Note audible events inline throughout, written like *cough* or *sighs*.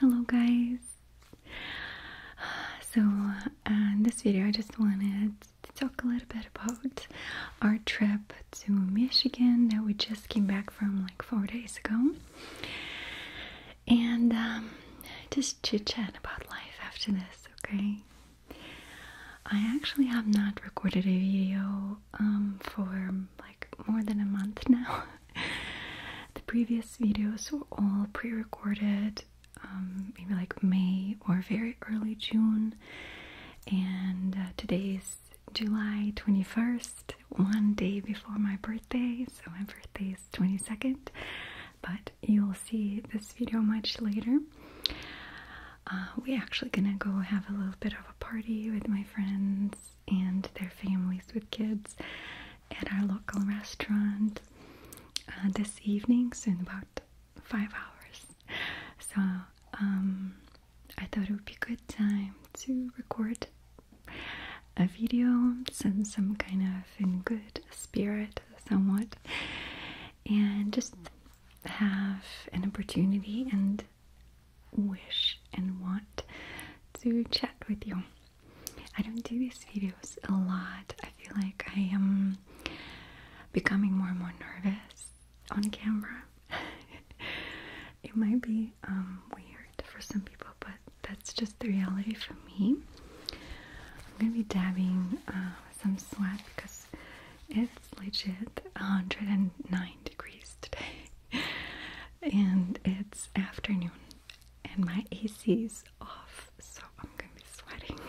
Hello guys! So in this video I just wanted to talk a little bit about our trip to Michigan that we just came back from like four days ago and um, just chit chat about life after this, okay? I actually have not recorded a video um, for like more than a month now. *laughs* the previous videos were all pre-recorded, um, maybe like May or very early June, and uh, today is July 21st, one day before my birthday, so my birthday is 22nd, but you'll see this video much later. Uh, we're actually gonna go have a little bit of a party with my friends and their families with kids at our local restaurant uh, this evening, so in about five hours. So um, I thought it would be a good time to record a video, send some kind of in good spirit, somewhat, and just have an opportunity and wish and want to chat with you. I don't do these videos a lot. I feel like I am becoming more and more nervous on camera. *laughs* it might be um, weird for some people, but that's just the reality for me. I'm gonna be dabbing uh, some sweat because it's legit 109 degrees today. *laughs* and it's afternoon and my AC is off, so I'm gonna be sweating.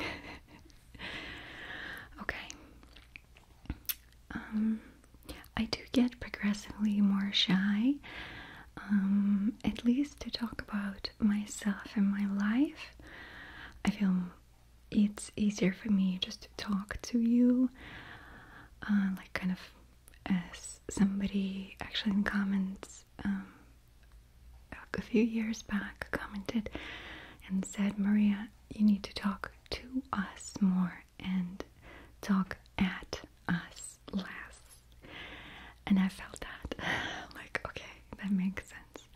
*laughs* okay. Um I do get progressively more shy. Um at least to talk about myself and my life. I feel it's easier for me just to talk to you. Uh, like kind of as somebody actually in comments um, a few years back commented and said, Maria, you need to talk to us more and talk at us less. And I felt that. *laughs* like, okay, that makes sense.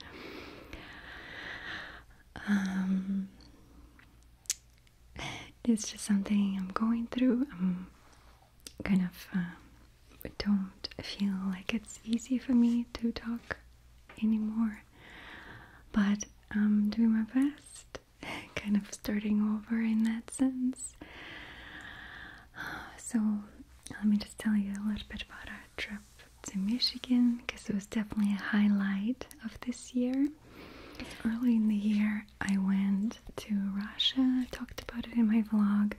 Um, it's just something I'm going through. I'm kind of um, don't feel like it's easy for me to talk anymore, but I'm doing my best, *laughs* kind of starting over in that sense. *sighs* So, let me just tell you a little bit about our trip to Michigan because it was definitely a highlight of this year. Early in the year, I went to Russia. I talked about it in my vlog.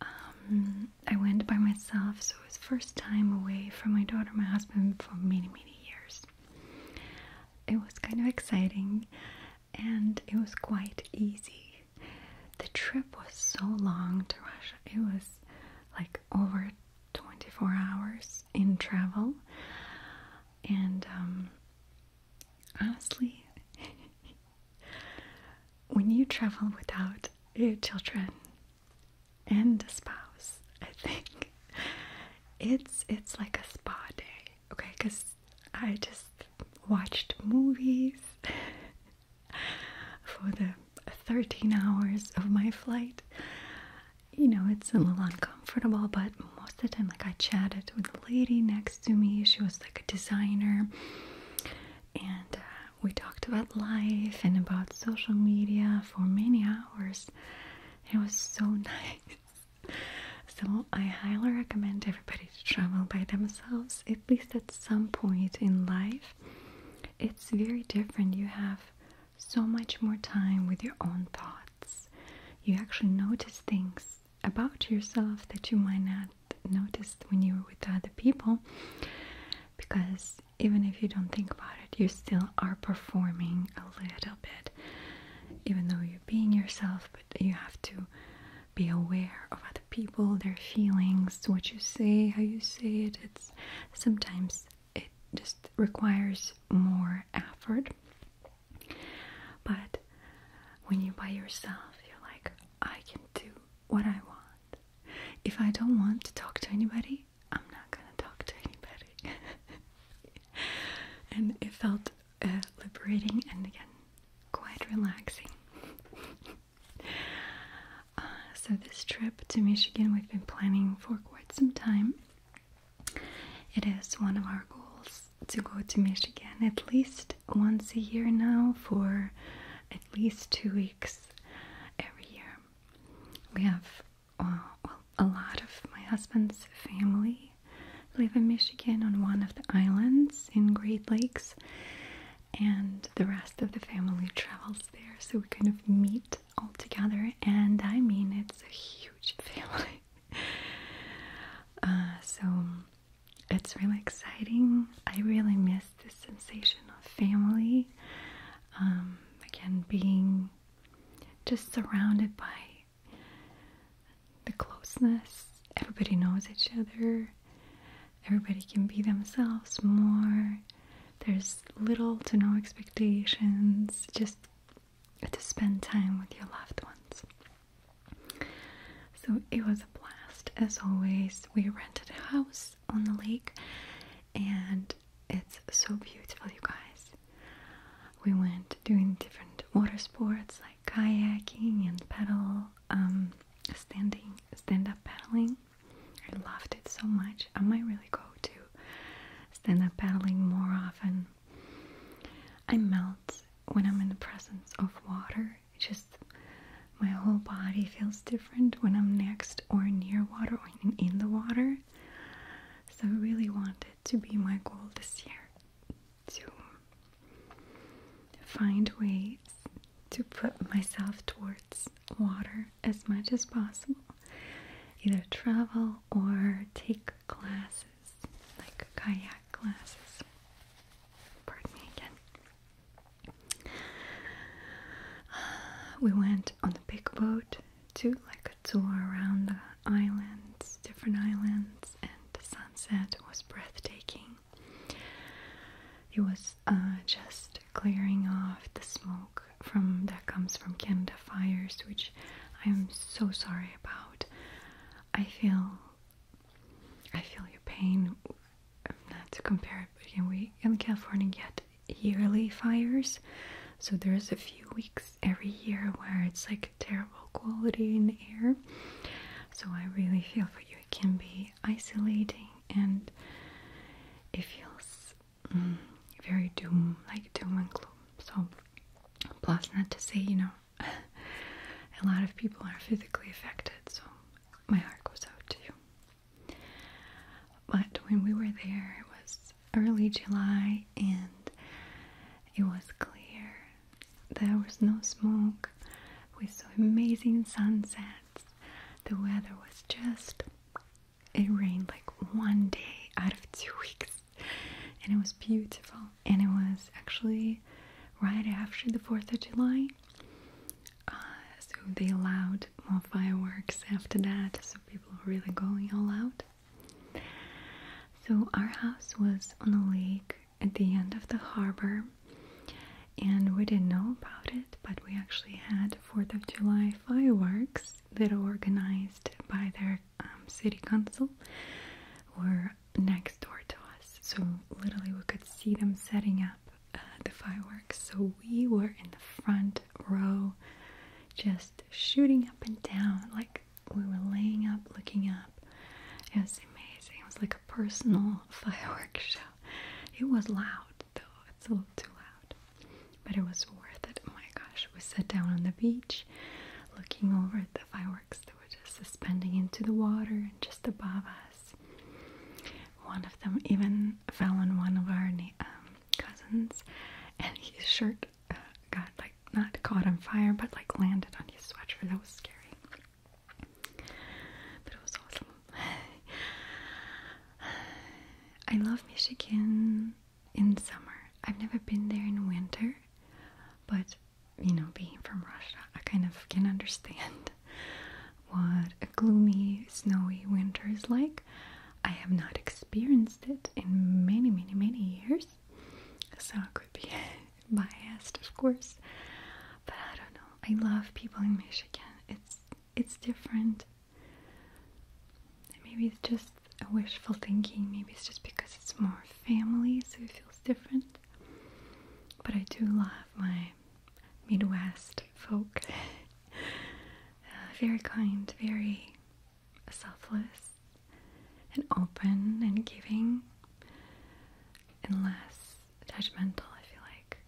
Um, I went by myself, so it was first time away from my daughter, my husband, for many, many years. It was kind of exciting, and it was quite easy. The trip was so long to Russia. It was like over 24 hours in travel, and um, honestly, *laughs* when you travel without your children and a spouse, I think *laughs* it's it's like a spa day, okay? Because I just watched movies *laughs* for the 13 hours of my flight you know, it's a little uncomfortable, but most of the time, like I chatted with the lady next to me, she was like a designer, and uh, we talked about life and about social media for many hours. It was so *laughs* nice. So, I highly recommend everybody to travel by themselves, at least at some point in life. It's very different. You have so much more time with your own thoughts you actually notice things about yourself that you might not notice when you were with other people. Because even if you don't think about it, you still are performing a little bit, even though you're being yourself, but you have to be aware of other people, their feelings, what you say, how you say it. It's sometimes it just requires more effort. But when you're by yourself, you're like, I can do what I want. If I don't want to talk to anybody, I'm not gonna talk to anybody. *laughs* and it felt uh, liberating and again quite relaxing. *laughs* Uh, so, this trip to Michigan we've been planning for quite some time. It is one of our goals to go to Michigan at least once a year now for at least two weeks every year. We have uh, a lot of my husband's family live in Michigan on one of the islands in Great Lakes, and the rest of the family travels there, so we kind of meet all together. And I mean, it's a huge *laughs* family. *laughs* Uh, so it's really exciting. I really miss this sensation of family. Um, again, being just surrounded by the closeness. Everybody knows each other. Everybody can be themselves more. There's little to no expectations. Just to spend time with your loved ones. So it was a blast as always. We rented a house on the lake and it's so beautiful, you guys. We went doing different water sports like kayaking and paddle, um, standing, stand-up paddling. I loved it so much. I might really go to stand-up paddling more often. I melt when I'm in the presence of water. just my whole body feels different when I'm next or near water or in the water. So I really want it to be my goal this year to find ways to put myself towards water as much as possible. Either travel or take glasses, like kayak glasses. Pardon me again. *sighs* we went on a big boat to like a tour around the islands, different islands, and the sunset was breathtaking. It was uh, just clearing off the smoke from that comes from Canada fires, which I'm so sorry about. I feel I feel your pain. Not to compare it, but we in California get yearly fires, so there's a few weeks every year where it's like terrible quality in the air. So I really feel for you. It can be isolating and it feels mm, very doom, like doom and gloom. So Plus, not to say, you know, *laughs* a lot of people are physically affected, so my heart goes out to you. But when we were there, it was early July and it was clear. There was no smoke. We saw amazing sunsets. The weather was just. It rained like one day out of two weeks and it was beautiful. And it was actually right after the 4th of July, uh, so they allowed more fireworks after that, so people were really going all out. So, our house was on a lake at the end of the harbor, and we didn't know about it, but we actually had 4th of July fireworks that are organized by their um, city council were next door to us, so literally we could see them setting up uh, the fireworks. So we were in the front row, just shooting up and down, like we were laying up, looking up. It was amazing. It was like a personal *laughs* fireworks show. It was loud though, it's a little too loud but it was worth it. Oh my gosh, we sat down on the beach looking over at the fireworks that were just suspending into the water and just above us. One of them even fell on one of our um, cousins, and his shirt uh, got like not caught on fire but like landed on his sweater. That was scary. But it was awesome. *sighs* I love Michigan in summer. I've never been there in winter, but you know, being from Russia, I kind of can understand *laughs* what a gloomy, snowy winter is like. I have not experienced it in many, many, many years, so I could be *laughs* biased, of course. But I don't know. I love people in Michigan. It's it's different. Maybe it's just a wishful thinking. Maybe it's just because it's more family, so it feels different. But I do love my Midwest folk. Uh, very kind, very selfless, and open and giving, and less judgmental. I feel like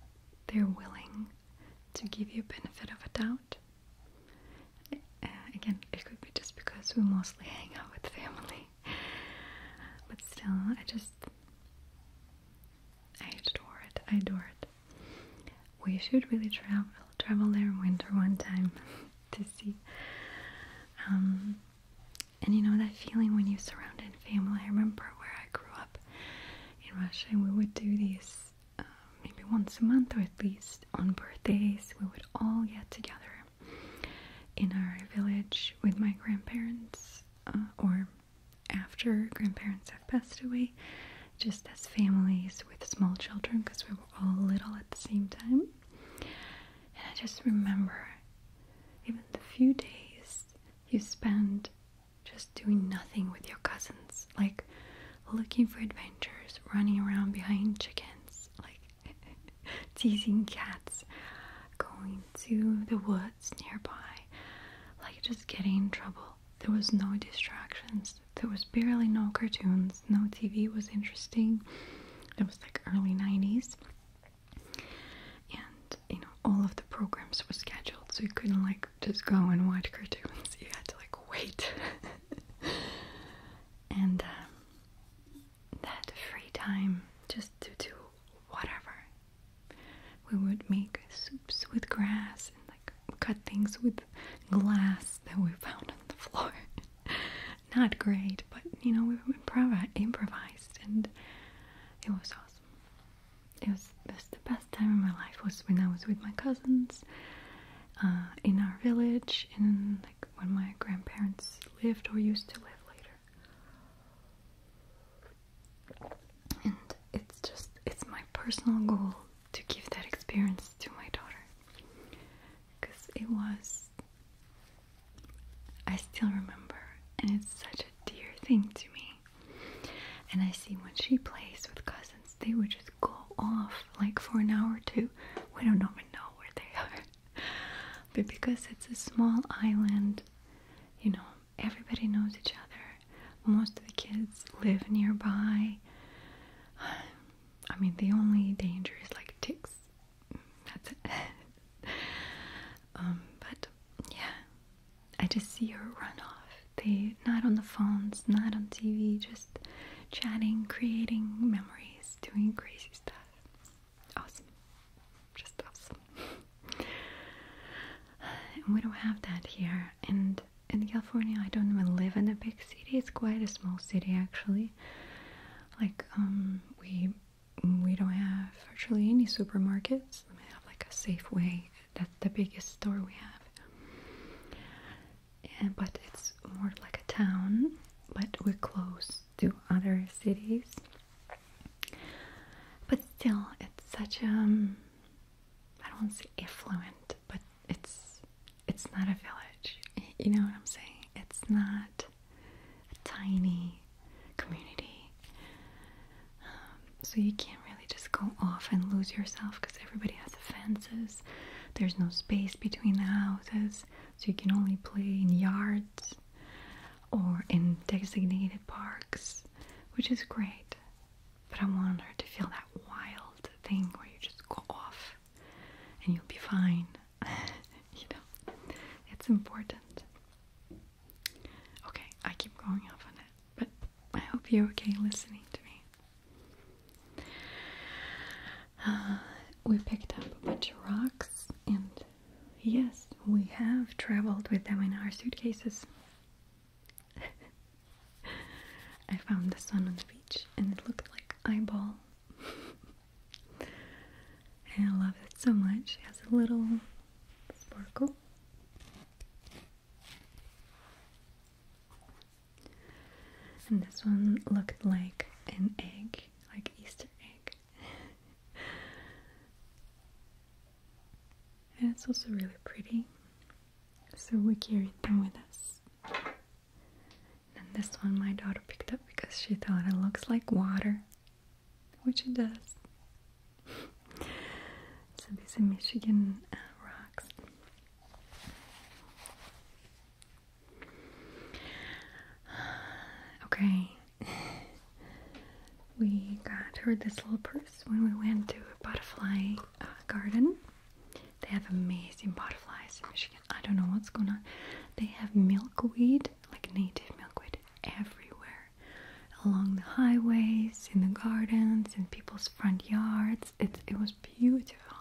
they're willing to give you benefit of a doubt uh, again, it could be just because we mostly hang out with family. But still, I just... I adore it. I adore it. We should really travel travel there in winter one time *laughs* to see. Um, and you know that feeling when you're surrounded in family. I remember where I grew up in Russia, we would do these uh, maybe once a month or at least on birthdays, we would all get together in our village with my grandparents uh, or after grandparents have passed away, just as families with small children because we were all little at the same time. And I just remember even the few days you spend just doing nothing with your cousins. Like, looking for adventures, running around behind chickens, like *laughs* teasing cats, going to the woods nearby, like just getting in trouble. There was no distractions. There was barely no cartoons. No TV was interesting. It was like early 90s. And you know, all of the programs were scheduled, so you couldn't like just go and watch cartoons. *laughs* You had to like wait. *laughs* and um, that free time just to do whatever. We would make soups with grass and like cut things with glass that we found on the floor. *laughs* Not great, but you know we improv- improvised, and it was awesome. It was, it was the best time in my life was when I was with my cousins uh, in our village, in like when my grandparents lived or used to live later. And it's just it's my personal goal to give that experience to my daughter because it was I still remember and it's such a dear thing to me. And I see when she plays with cousins, they would just go off like for an hour or two. We don't even know where they are. *laughs* but because it's a small island, you know, everybody knows each other. Most of the kids live nearby. *sighs* I mean, the only danger is like ticks. *laughs* That's it. *laughs* Um, but yeah, I just see her run off. They not on the phones, not on TV, just chatting, creating memories, doing crazy stuff. Awesome. Just awesome. *sighs* and we don't have that here. And in California, I don't even live in a big city. It's quite a small city, actually. Like, um, we we don't have virtually any supermarkets. We have like a Safeway. That's the biggest store we have and, but it's more like a town, but we're close to other cities. But still, it's such a, um, don't want to say affluent, but it's, it's not a village, you know what I'm saying? It's not a tiny community. Um, so you can't really just go off and lose yourself because everybody has a there's no space between the houses, so you can only play in yards or in designated parks, which is great. But I want her to feel that wild thing where you just go off and you'll be fine. *laughs* you know, it's important. Okay, I keep going off on it, but I hope you're okay listening to me. Uh, we picked up a bunch of rocks, and yes, we have traveled with them in our suitcases. *laughs* I found this one on the beach, and it looked like eyeball. *laughs* and I love it so much. It has a little sparkle. And this one looked like an egg, like Easter egg. *laughs* and it's also really pretty. So we carried them with us. And this one my daughter picked up because she thought it looks like water, which it does. *laughs* so these are Michigan uh, rocks. *sighs* Okay. *sighs* We got her this little purse when we went to a butterfly uh, garden. They have amazing butterflies in Michigan. I don't know what's going on. They have milkweed, like native milkweed, everywhere along the highways, in the gardens, in people's front yards it was beautiful,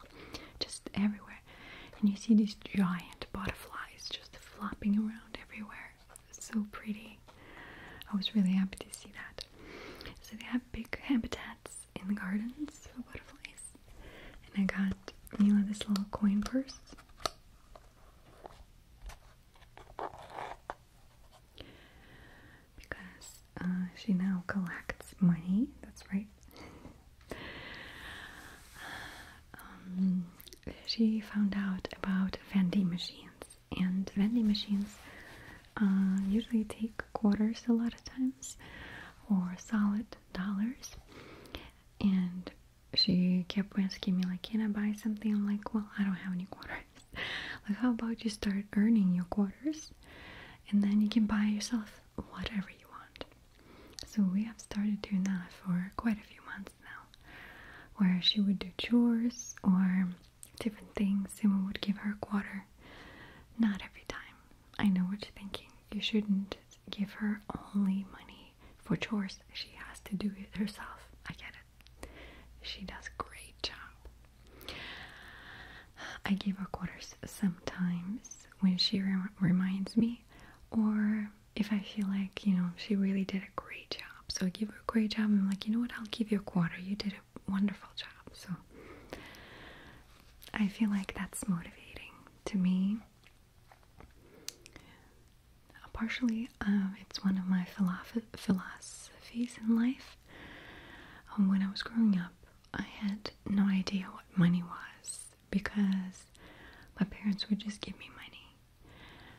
just everywhere. And you see these giant butterflies just flopping around everywhere. So pretty. I was really happy to see that. So they have big habitats in the gardens for butterflies. And I got Mila this little coin purse because uh, she now collects money. That's right. Um, she found out about vending machines, and vending machines uh, usually take quarters a lot of times or solid dollars. And she kept asking me, like, can I buy something? I'm like, well, I don't have any quarters. *laughs* like, how about you start earning your quarters? And then you can buy yourself whatever you want. So we have started doing that for quite a few months now, where she would do chores or different things, and we would give her a quarter. Not every time. I know what you're thinking. You shouldn't give her only money for chores. She has to do it herself. I get it. She does a great job. I give her quarters sometimes when she reminds me, or if I feel like, you know, she really did a great job. So I give her a great job. I'm like, you know what, I'll give you a quarter. You did a wonderful job. So I feel like that's motivating to me. Partially, um, it's one of my philosophies in life. Um, when I was growing up, I had no idea what money was because my parents would just give me money.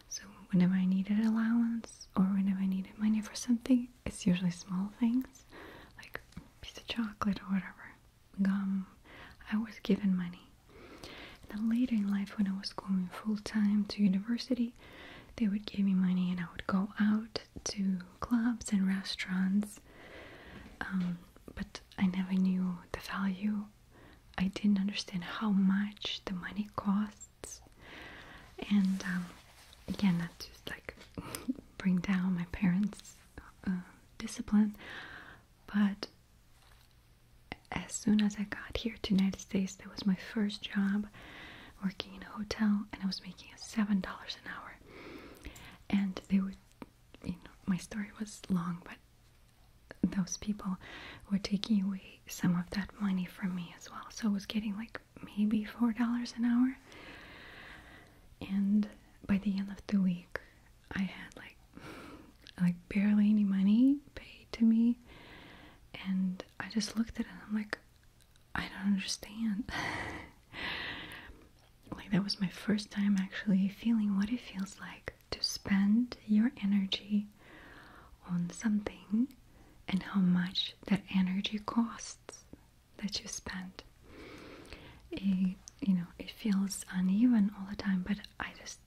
So whenever I needed allowance or whenever I needed money for something, it's usually small things like piece of chocolate or whatever, gum. I was given money. And then later in life, when I was going full time to university, they would give me money and I would go out to clubs and restaurants, um, but I never knew the value. I didn't understand how much the money costs, and um, again, that just like *laughs* bring down my parents' uh, discipline. But as soon as I got here to United States, that was my first job working in a hotel, and I was making seven dollars an hour and they would you know my story was long but those people were taking away some of that money from me as well so i was getting like maybe four dollars an hour and by the end of the week i had like *laughs* like barely any money paid to me and i just looked at it and i'm like I don't understand. *laughs* like, that was my first time actually feeling what it feels like to spend your energy on something and how much that energy costs that you spend. It, you know, it feels uneven all the time, but I just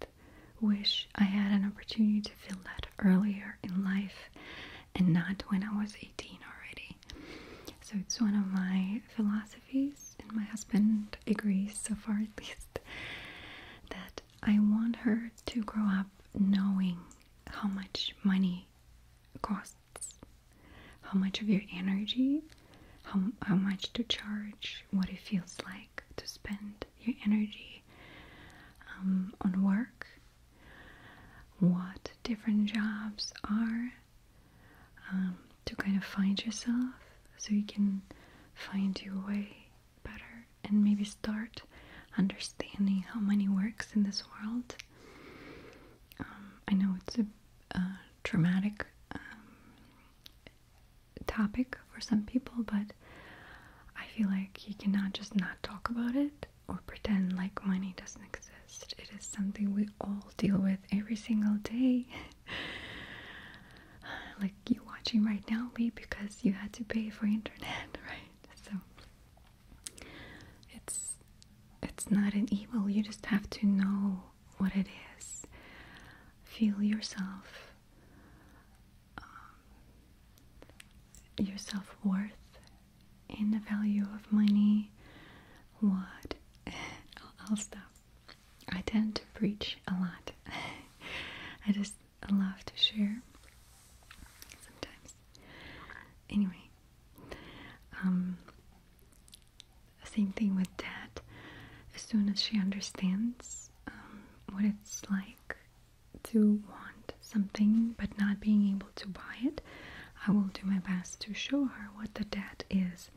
wish I had an opportunity to feel that earlier in life and not when I was 18 already. So it's one of my philosophies, and my husband agrees so far at least, that I want her to grow up knowing how much money costs, how much of your energy, how, how much to charge, what it feels like to spend your energy um, on work, what different jobs are um, to kind of find yourself so you can find your way better and maybe start understanding how money works in this world. Um, I know it's a, traumatic um, topic for some people, but I feel like you cannot just not talk about it or pretend like money doesn't exist. It is something we all deal with every single day. *sighs* like you watching right now, maybe because you had to pay for internet, *laughs* right? So it's it's not an evil. You just have to know what it is. Feel yourself, um, your self worth, in the value of money, what? *laughs* I'll, stop. I tend to preach a lot. *laughs* I just love to share sometimes. Anyway, um, same thing with Dad. As soon as she understands um, what it's like to want something but not being able to buy it, I will do my best to show her what the debt is,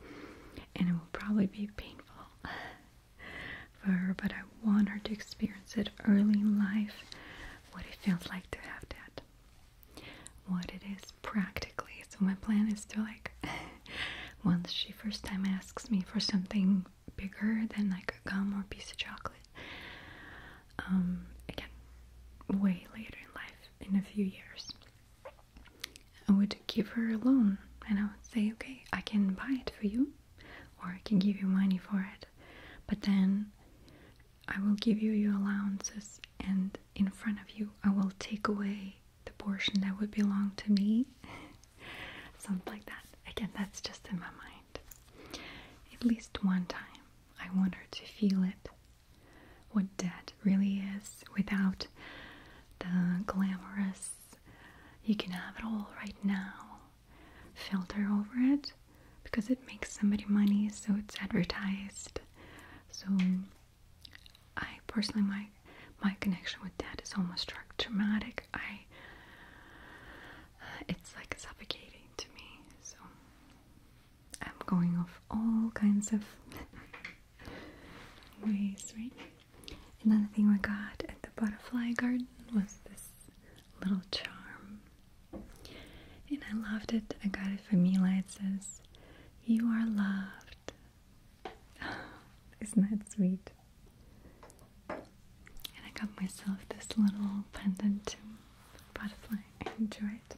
and it will probably be painful *laughs* for her. But I want her to experience it early in life what it feels like to have debt, what it is practically. So, my plan is to like *laughs* once she first time asks me for something bigger than like a gum or piece of chocolate. Um, again, way later in life, in a few years, I would give her a loan and I would say, okay, I can buy it for you or I can give you money for it, but then I will give you your allowances and in front of you I will take away the portion that would belong to me. *laughs* Something like that. Again, that's just in my mind. At least one time I want her to feel it what debt really is without the glamorous, you can have it all right now filter over it because it makes somebody money, so it's advertised. So, I personally, my my connection with debt is almost traumatic. I it's like suffocating to me. So I'm going off all kinds of *laughs* ways, right? Another thing I got at the butterfly garden was this little charm. And I loved it. I got it from Mila. It says, You are loved. *sighs* Isn't that sweet? And I got myself this little pendant butterfly. I enjoy it.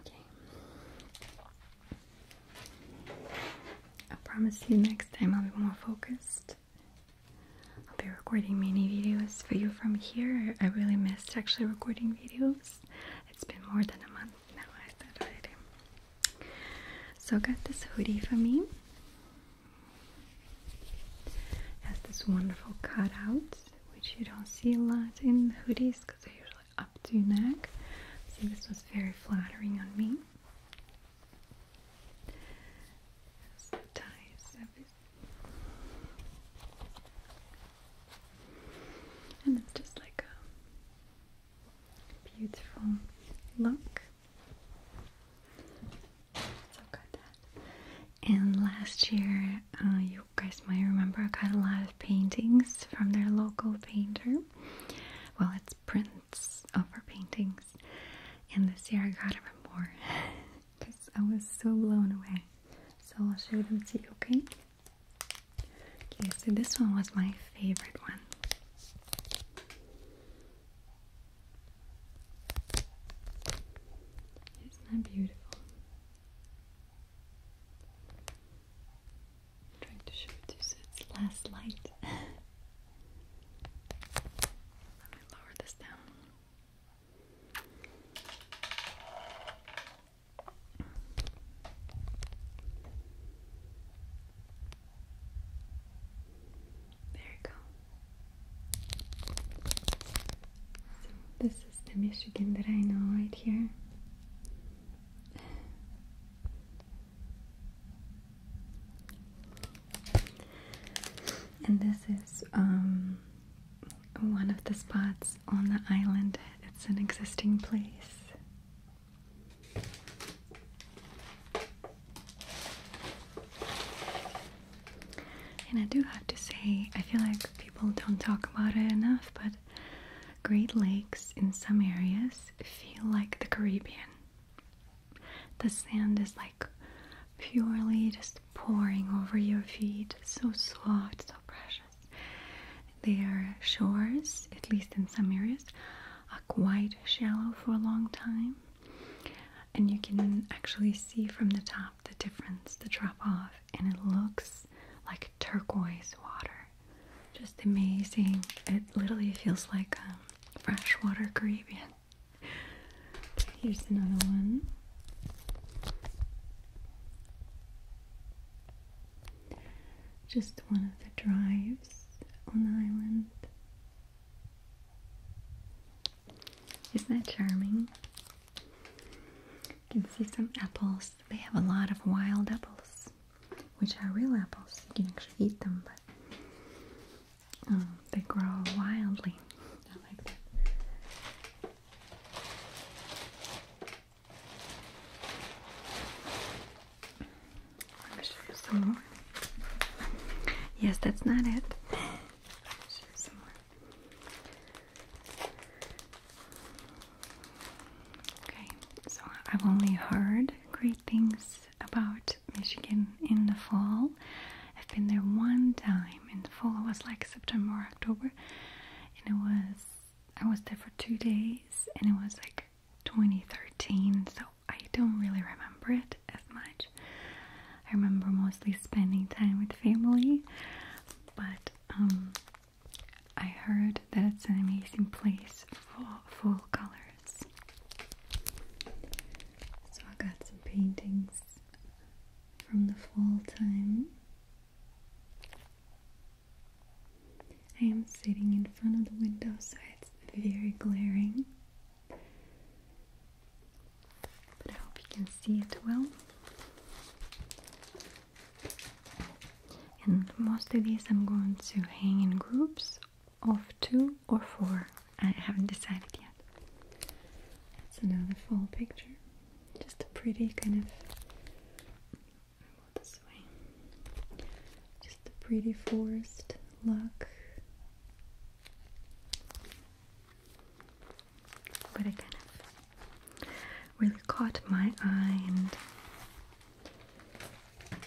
Okay. I promise you next time I'll be more focused. I'll be recording many videos for you from here. I really missed actually recording videos. It's been more than a month now, I said So I got this hoodie for me. Has this wonderful cutouts, which you don't see a lot in hoodies because they're usually up to neck. So this was very flattering on me. And it's just like a beautiful look. So got And last year, uh, you guys might remember, I got a lot of paintings from their local painter. Well, it's prints of her paintings. And this year, I got even more because *laughs* I was so blown away. So I'll show them to you, okay? Okay, so this one was my favorite one. Isn't that beautiful? trying to show it to you so it's less light. *laughs* Let me lower this down. There you go. So this is the Michigan that I know right here. And this is um, one of the spots on the island. It's an existing place. And I do have to say, I feel like people don't talk about it enough, but Great Lakes in some areas feel like the Caribbean. The sand is like purely just pouring over your feet, so soft, so precious. Their shores, at least in some areas, are quite shallow for a long time and you can actually see from the top the difference, the drop off, and it looks like turquoise water. Just amazing. It literally feels like um, freshwater Caribbean. *laughs* Here's another one. Just one of the drives on the island. Isn't that charming? You can see some apples. They have a lot of wild apples, which are real apples. You can actually eat them, but um, they grow wildly. I like that. Let me show you some more. Yes, that's not it. Okay, so I've only heard great things about Michigan in the fall. I've been there one time in the fall. It was like September or October, and it was I was there for two days, and it was like 2013. So I don't really remember it as much. I remember mostly spending time with family, but um, I heard that it's an amazing place for fall colors. So I got some paintings from the fall time. I am sitting in front of the window, so it's very glaring. But I hope you can see it well. And most of these I'm going to hang in groups of two or four. I haven't decided yet. That's another full picture. Just a pretty kind of this way. Just a pretty forest look but it kind of really caught my eye and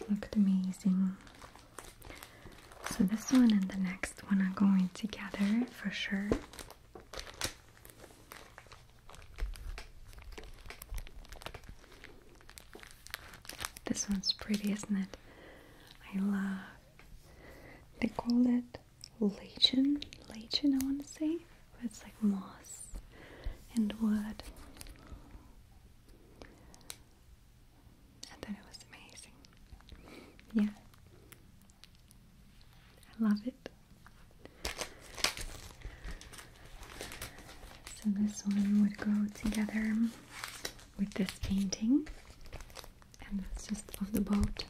looked amazing. So this one and the next one are going together for sure. This one's pretty, isn't it? I love. They call it lichen, lichen I want to say, but it's like moss and wood. I thought it was amazing. Yeah. I love it. So this one would go together with this painting and that's just of the boat.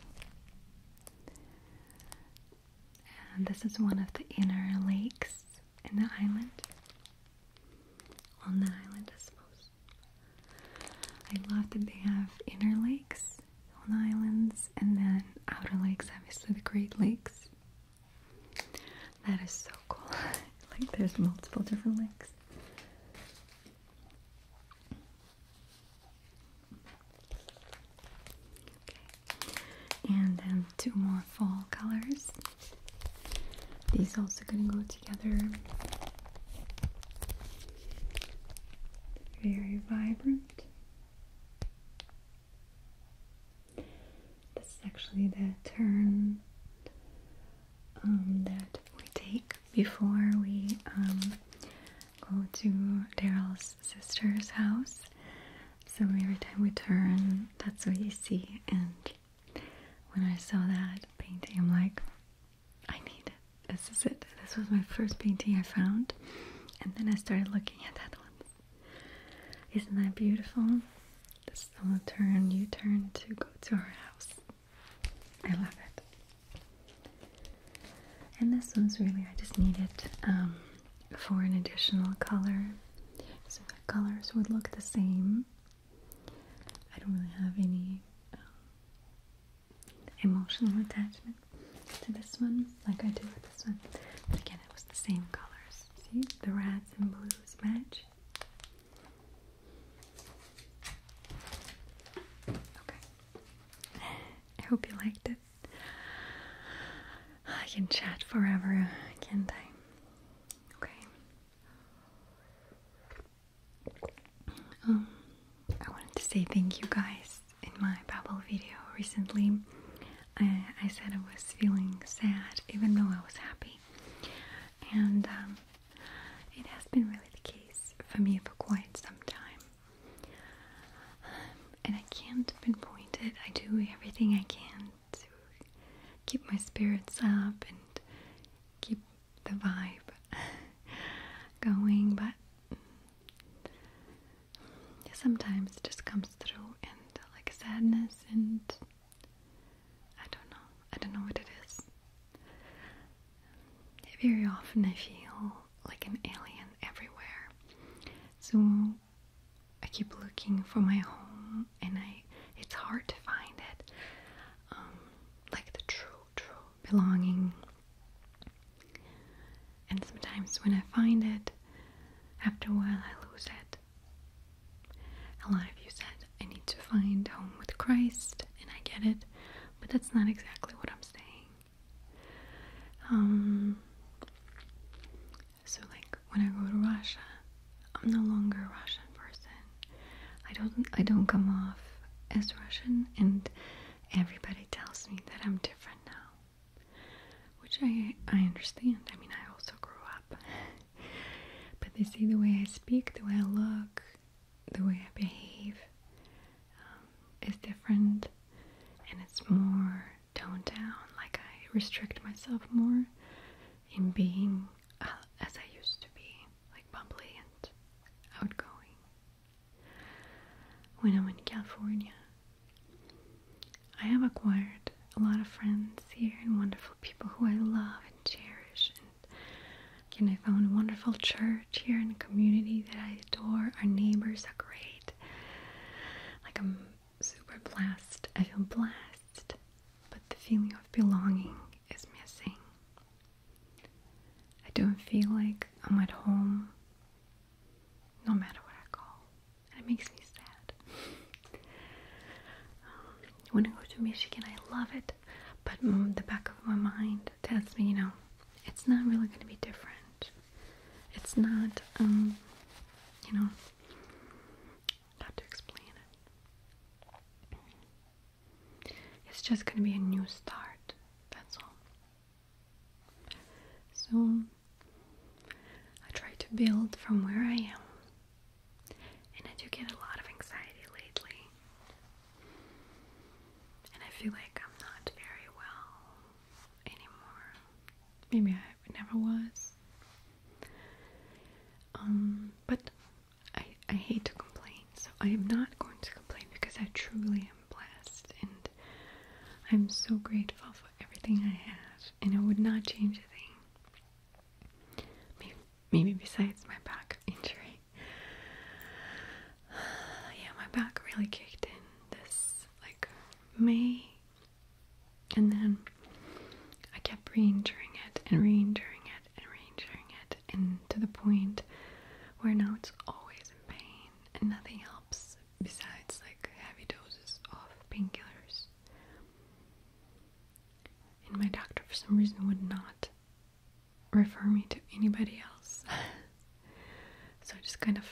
And this is one of the inner lakes in the island. On the island, I suppose. I love that they have inner lakes on the islands and then outer lakes, obviously the Great Lakes. That is so cool. *laughs* like there's multiple different lakes. Okay. And then two more fall colors. These also gonna go together. Very vibrant. This is actually the turn um, that we take before we um, go to Daryl's sister's house. So every time we turn, that's what you see. And when I saw that painting, I'm like, I need it. This is it. This was my first painting I found. And then I started looking at that one. Isn't that beautiful? This little turn, you turn to go to her house. I love it. And this one's really, I just need it um, for an additional color. So the colors would look the same. I don't really have any um, emotional attachment to this one like I do with this one. But again, it was the same colors. See, the reds and blues match. Okay, I hope you liked it. I can chat forever, can't I? Okay. Um, I wanted to say thank you guys in my Babel video recently. I, I said I was feeling sad even though I was happy. And um, it has been really the case for me for quite some time. Um, and I can't pinpoint it. I do everything I can to keep my spirits up and keep the vibe *laughs* going, but sometimes it just comes through and like sadness and I don't know. I don't know what it is. Very often I feel like an alien everywhere. So I keep looking for my home and I it's hard to find it. Um, like the true, true belonging. And sometimes when I find it, after a while I lose it. A lot of you said I need to find home with Christ, and I get it but that's not exactly what I'm saying. Um, so like when I go to Russia, I'm no longer a Russian person. I don't I don't come off as Russian, and everybody tells me that I'm different now, which I I understand. I mean, I also grew up, *laughs* but they see the way I speak, the way I look, the way I behave um, is different and it's more toned down. Like I restrict myself more in being uh, as I used to be, like bubbly and outgoing. When I'm in California, I have acquired a lot of friends here and wonderful people who I love and cherish Again, I found a wonderful church here in the community that I adore. Our neighbors are great. Like, I'm super blessed. I feel blessed, but the feeling of belonging is missing. I don't feel like I'm at home no matter what I call, And it makes me sad. *laughs* um, when I go to Michigan, I love it but the back of my mind tells me, you know, it's not really going to be different. It's not, um, you know, how to explain it. It's just going to be a new start. That's all. So I try to build from where I am. And I do get a lot of anxiety lately and I feel like I'm not very well anymore. Maybe I never was. Um, but I, I hate to complain, so I am not going to complain because I truly am blessed and I'm so grateful for everything I have, and I would not change a thing. Maybe, maybe besides my back injury. *sighs* yeah, my back really kicked in this like May, and then I kept re-injuring it and re-injuring it and re-injuring it, and to the point where now it's always in pain and nothing helps besides like heavy doses of painkillers. And my doctor, for some reason, would not refer me to anybody else. *laughs* so I just kind of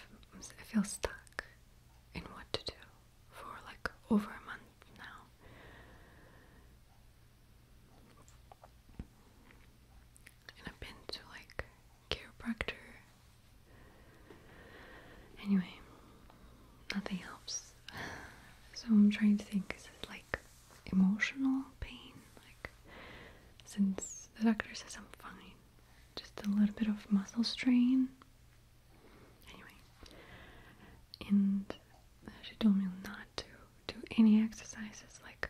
I feel stuck in what to do for like over a month now. And I've been to like chiropractor. Anyway, nothing helps. *sighs* So I'm trying to think like emotional pain. Like, since the doctor says I'm fine, just a little bit of muscle strain. Anyway, and she told me not to do any exercises, like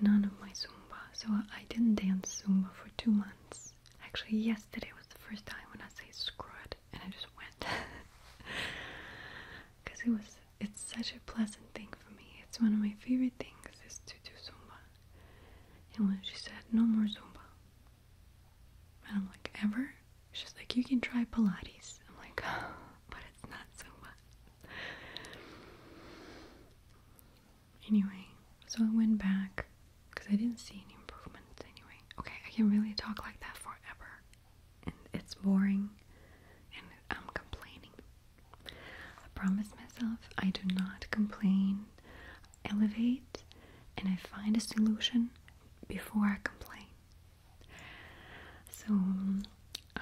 none of my Zumba. So I didn't dance Zumba for two months. Actually, yesterday was the first time when I say screw and I just went because *laughs* it was it's such a pleasant thing for me. It's one of my favorite things is to do Zumba. And when she said, no more Zumba. And I'm like, ever? She's like, you can try Pilates. I'm like, oh, *gasps* but it's not Zumba. Anyway, so I went back because I didn't see any improvements anyway. Okay, I can really talk like that forever and it's boring and I'm complaining. I promise myself I do not complain. Elevate and I find a solution before I complain. So, uh,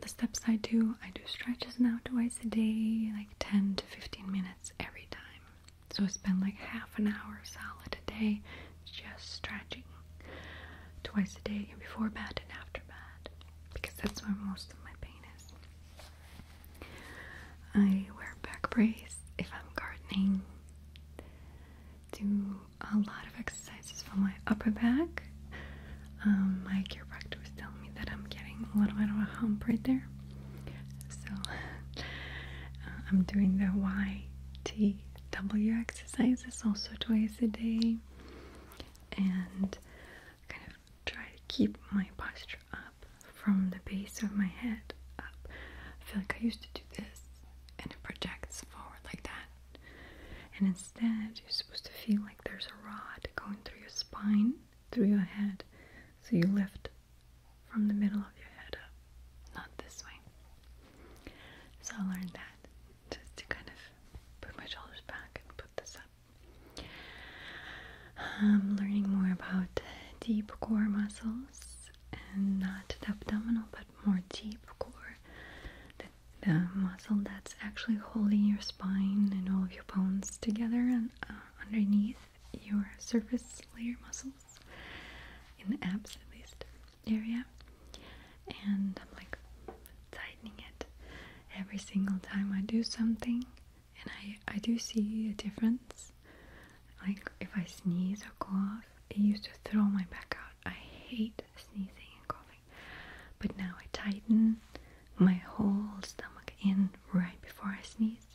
the steps I do, I do stretches now twice a day, like 10 to 15 minutes every time. So, I spend like half an hour solid a day just stretching twice a day before bed and after bed because that's where most of my pain is. I wear back brace if I'm gardening, do a lot of exercises for my upper back. Um, my chiropractor was telling me that I'm getting a little bit of a hump right there, so *laughs* uh, I'm doing the YTW exercises also twice a day and kind of try to keep my posture up from the base of my head up. I feel like I used to do this and it projects forward like that. And instead, you're supposed to feel like there's a rod going through your spine, through your head. So you lift from the middle of your head up, not this way. So I learned that just to kind of put my shoulders back and put this up. I'm um, learning more about deep core muscles and not the abdominal but more deep core, the, muscle that's actually holding your spine and all of your bones together and uh, underneath your surface layer muscles in the abs at least area and I'm like tightening it every single time I do something and I, I do see a difference like if I sneeze or cough it used to throw my back out I hate sneezing and coughing but now I tighten my whole stomach in right before I sneeze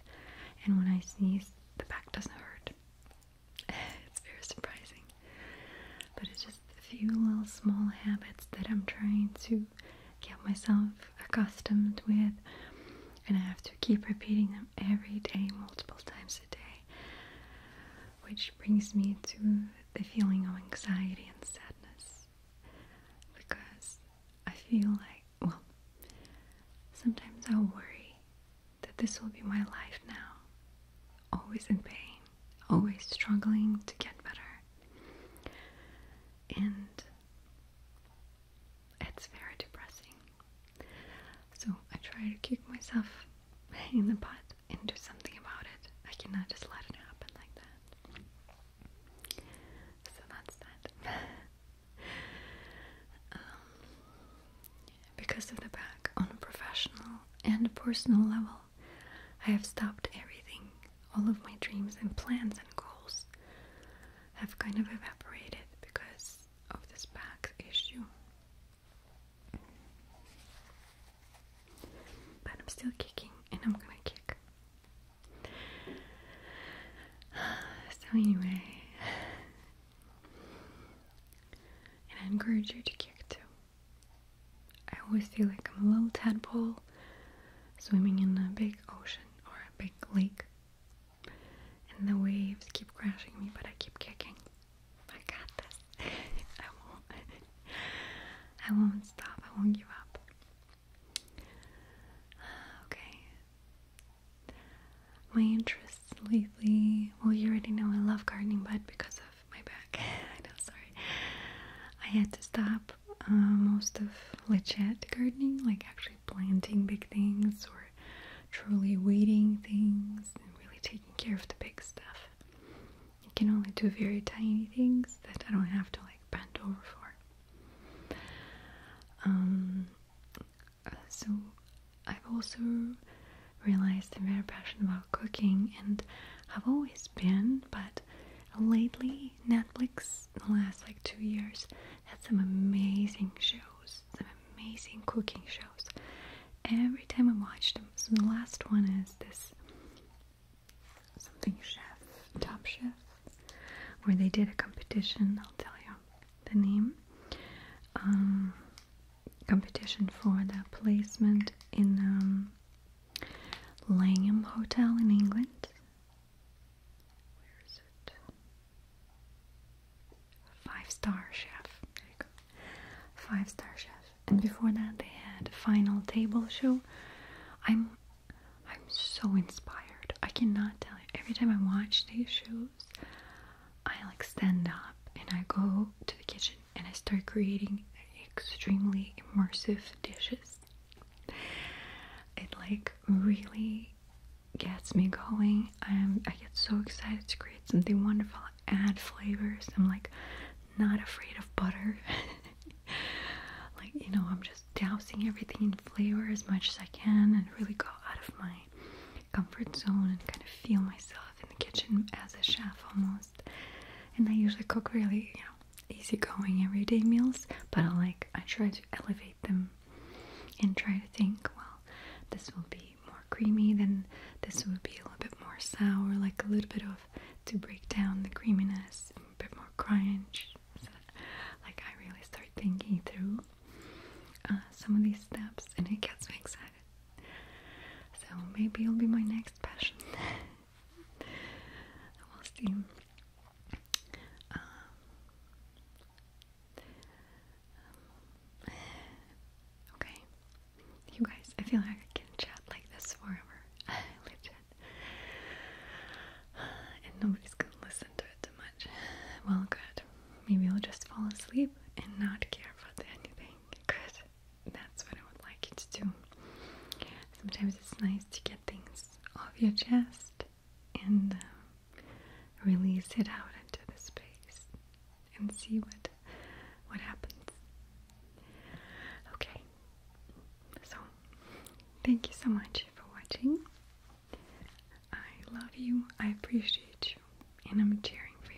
and when I sneeze the back doesn't hurt *laughs* it's very surprising but it's just a few little small habits that I'm trying to get myself accustomed with, and I have to keep repeating them every day, multiple times a day, which brings me to the feeling of anxiety and sadness because I feel like, well, sometimes I worry that this will be my life now, always in pain, always struggling to get better. And it's very depressing. So I try to kick myself in the butt and do something about it. I cannot just let it happen like that. So that's that. *laughs* Um, because of the back, on a professional and a personal level, I have stopped everything. All of my dreams and plans and goals have kind of evaporated because of this back issue. But I'm still kicking and I'm gonna kick. *sighs* So, anyway, *sighs* and I encourage you to kick too. I always feel like I'm a little tadpole swimming in a big ocean or a big lake. And the waves keep crashing me, but I keep kicking. I got this. *laughs* I won't. *laughs* I won't stop. I won't give up. *sighs* Okay. My interests lately. Well, you already know I love gardening, but because of my back. *laughs* I sorry. I had to stop uh, most of the chat gardening, like actually planting big things or truly weeding things and really taking care of the big stuff. I can only do very tiny things that I don't have to like bend over for. Um, uh, so I've also realized I'm very passionate about cooking and I've always been, but lately Netflix, the last like two years, had some amazing shows, some amazing cooking shows. Every time I watch them, so the last one is this something chef, top chef, where they did a competition. I'll tell you the name. Um, competition for the placement in um, Langham Hotel in England. Where is it? Five star chef. There you go. Five star chef. And before that, they had final table show. I'm I'm so inspired. I cannot tell you. Every time I watch these shows, I like stand up and I go to the kitchen and I start creating extremely immersive dishes. It like really gets me going. I'm, I get so excited to create something wonderful, add flavors. I'm like not afraid of butter. *laughs* like, you know, I'm just dousing everything in flavor as much as I can and really go out of my comfort zone and kind of feel myself in the kitchen as a chef almost. And I usually cook really, you know, easygoing everyday meals, but I like I try to elevate them and try to think, well, this will be more creamy than this would be a little bit more sour, like a little bit of to break down the creaminess, a bit more crunch. So, like I really start thinking through uh, some of these steps, and it gets me excited. So maybe it'll be my next passion. I *laughs* will see. Um, okay, you guys, I feel like I can chat like this forever. *laughs* And nobody's gonna listen to it too much. Well, good. Maybe I'll just fall asleep and not care about anything. Good that's what I would like you to do. Sometimes it's nice to get things off your chest and uh, release it out into the space and see what what happens. Okay. So, thank you so much for watching. I love you. I appreciate you, and I'm cheering for you.